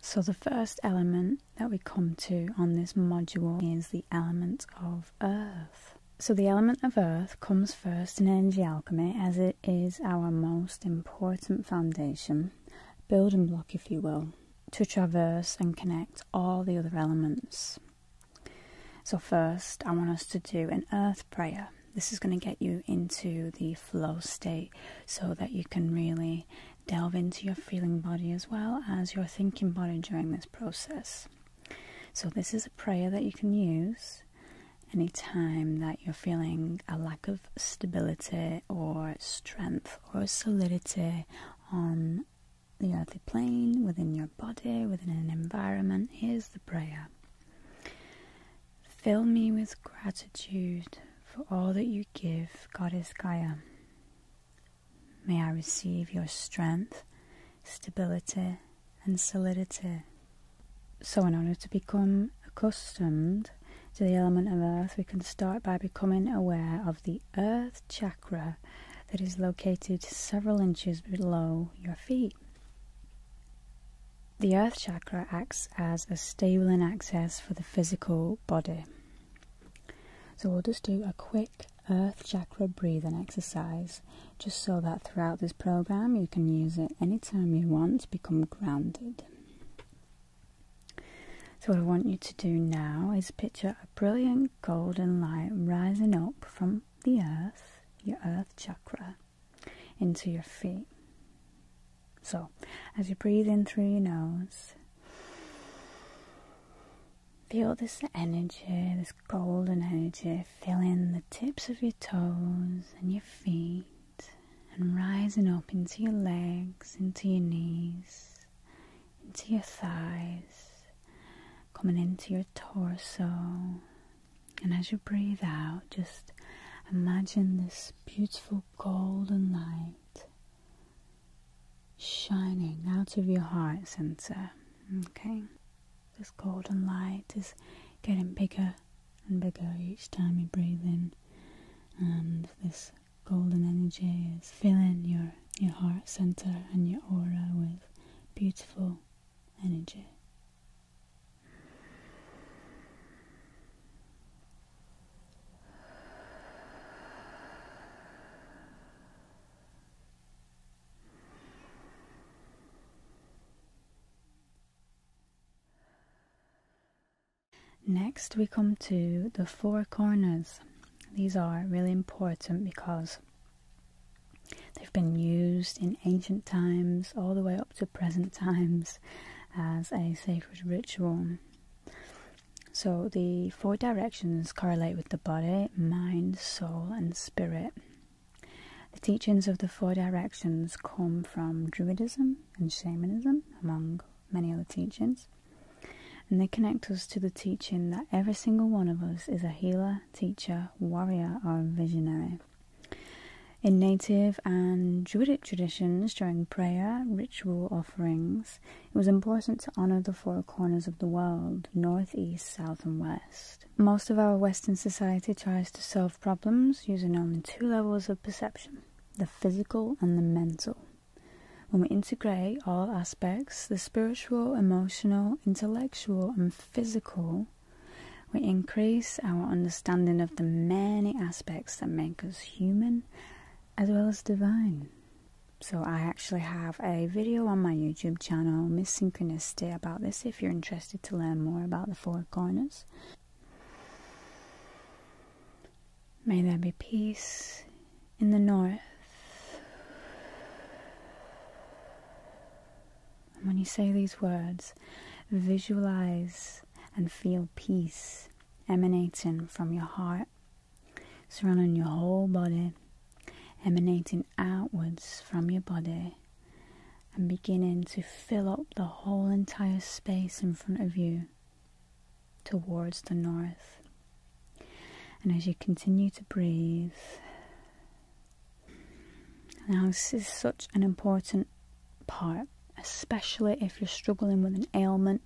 So, the first element that we come to on this module is the element of earth. So, the element of earth comes first in energy alchemy as it is our most important foundation, building block, if you will, to traverse and connect all the other elements. So, first, I want us to do an earth prayer. This is going to get you into the flow state so that you can really delve into your feeling body as well as your thinking body during this process. So, this is a prayer that you can use any time that you're feeling a lack of stability or strength or solidity on the earthly plane, within your body, within an environment. Here's the prayer Fill me with gratitude for all that you give, Goddess Gaia. May I receive your strength, stability, and solidity. So, in order to become accustomed to the element of earth, we can start by becoming aware of the earth chakra chakra that is located several inches below your feet. The earth chakra acts as a stabilizing and access for the physical body. So we'll just do a quick earth chakra breathing exercise just so that throughout this program you can use it any time you want to become grounded. So what I want you to do now is picture a brilliant golden light rising up from the earth, your earth chakra, into your feet. So, as you breathe in through your nose, feel this energy, this golden energy, filling the tips of your toes and your feet, and rising up into your legs, into your knees, into your thighs, coming into your torso. And as you breathe out, just imagine this beautiful golden light shining out of your heart center. Okay, this golden light is getting bigger and bigger each time you breathe in, and this golden energy is filling your, your heart center and your aura with beautiful energy. Next, we come to the four corners. These are really important because they've been used in ancient times all the way up to present times as a sacred ritual. So, the four directions correlate with the body, mind, soul, and spirit. The teachings of the four directions come from Druidism, and shamanism, among many other teachings. And they connect us to the teaching that every single one of us is a healer, teacher, warrior, or visionary. In native and Druidic traditions, during prayer, ritual offerings, it was important to honour the four corners of the world north, east, south, and west. Most of our Western society tries to solve problems using only two levels of perception the physical and the mental. When we integrate all aspects the spiritual, emotional, intellectual, and physical we increase our understanding of the many aspects that make us human as well as divine. So, I actually have a video on my YouTube channel, Miss Synchronicity, about this if you're interested to learn more about the four corners. May there be peace in the north. when you say these words, visualize and feel peace emanating from your heart, surrounding your whole body, emanating outwards from your body and beginning to fill up the whole entire space in front of you towards the north. And as you continue to breathe, now this is such an important part, especially if you're struggling with an ailment,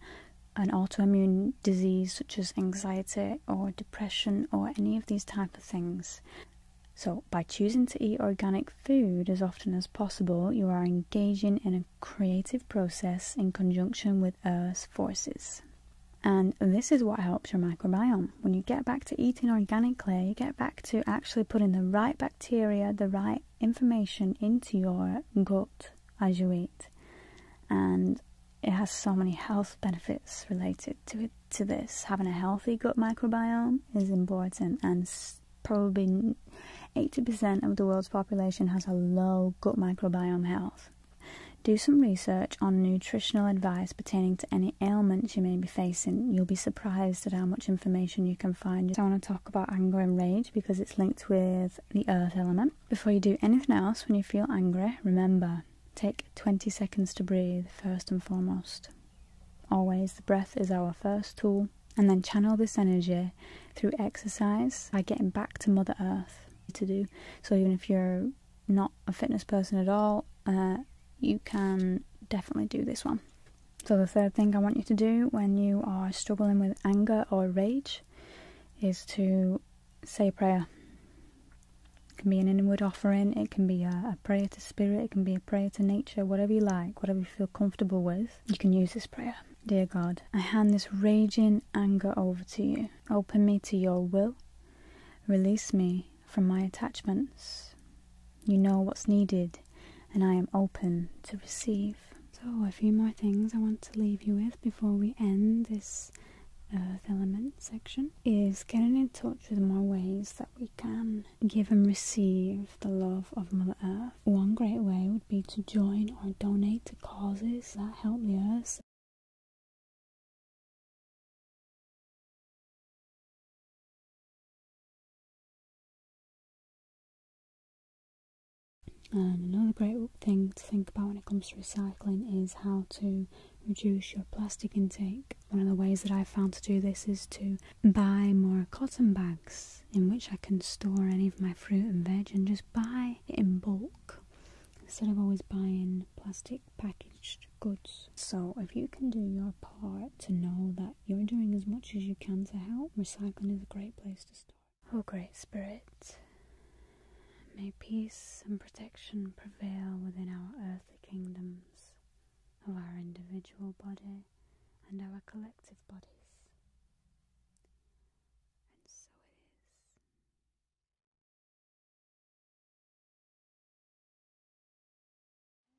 an autoimmune disease such as anxiety or depression or any of these type of things. So, by choosing to eat organic food as often as possible, you are engaging in a creative process in conjunction with Earth's forces. And this is what helps your microbiome. When you get back to eating organically, you get back to actually putting the right bacteria, the right information into your gut as you eat. And it has so many health benefits related to it to this having a healthy gut microbiome is important and probably 80% of the world's population has a low gut microbiome health do some research on nutritional advice pertaining to any ailments you may be facing. You'll be surprised at how much information you can find. I want to talk about anger and rage because it's linked with the earth element. Before you do anything else, when you feel angry, remember Take 20 seconds to breathe first and foremost. Always, the breath is our first tool, and then channel this energy through exercise by getting back to Mother Earth to do. So, even if you're not a fitness person at all, uh, you can definitely do this one. So, the third thing I want you to do when you are struggling with anger or rage is to say a prayer. It can be an inward offering, it can be a, a prayer to spirit, it can be a prayer to nature, whatever you like, whatever you feel comfortable with, you can use this prayer. Dear God, I hand this raging anger over to you. Open me to your will. Release me from my attachments. You know what's needed, and I am open to receive. So, a few more things I want to leave you with before we end this Earth element section is getting in touch with more ways that we can give and receive the love of Mother Earth. One great way would be to join or donate to causes that help the Earth. And another great thing to think about when it comes to recycling is how to reduce your plastic intake. One of the ways that I have found to do this is to buy more cotton bags in which I can store any of my fruit and veg and just buy in bulk instead of always buying plastic packaged goods. So, if you can do your part to know that you're doing as much as you can to help, recycling is a great place to start. O Great Spirit, may peace and protection prevail within our earthly kingdoms of our individual body and our collective bodies.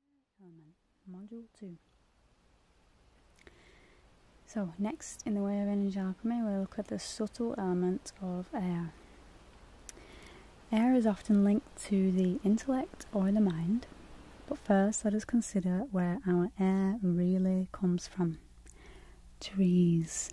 And so it is. Module 2 so, next in the way of energy alchemy, we look at the subtle element of air. Air is often linked to the intellect or the mind, but first let us consider where our air really comes from trees.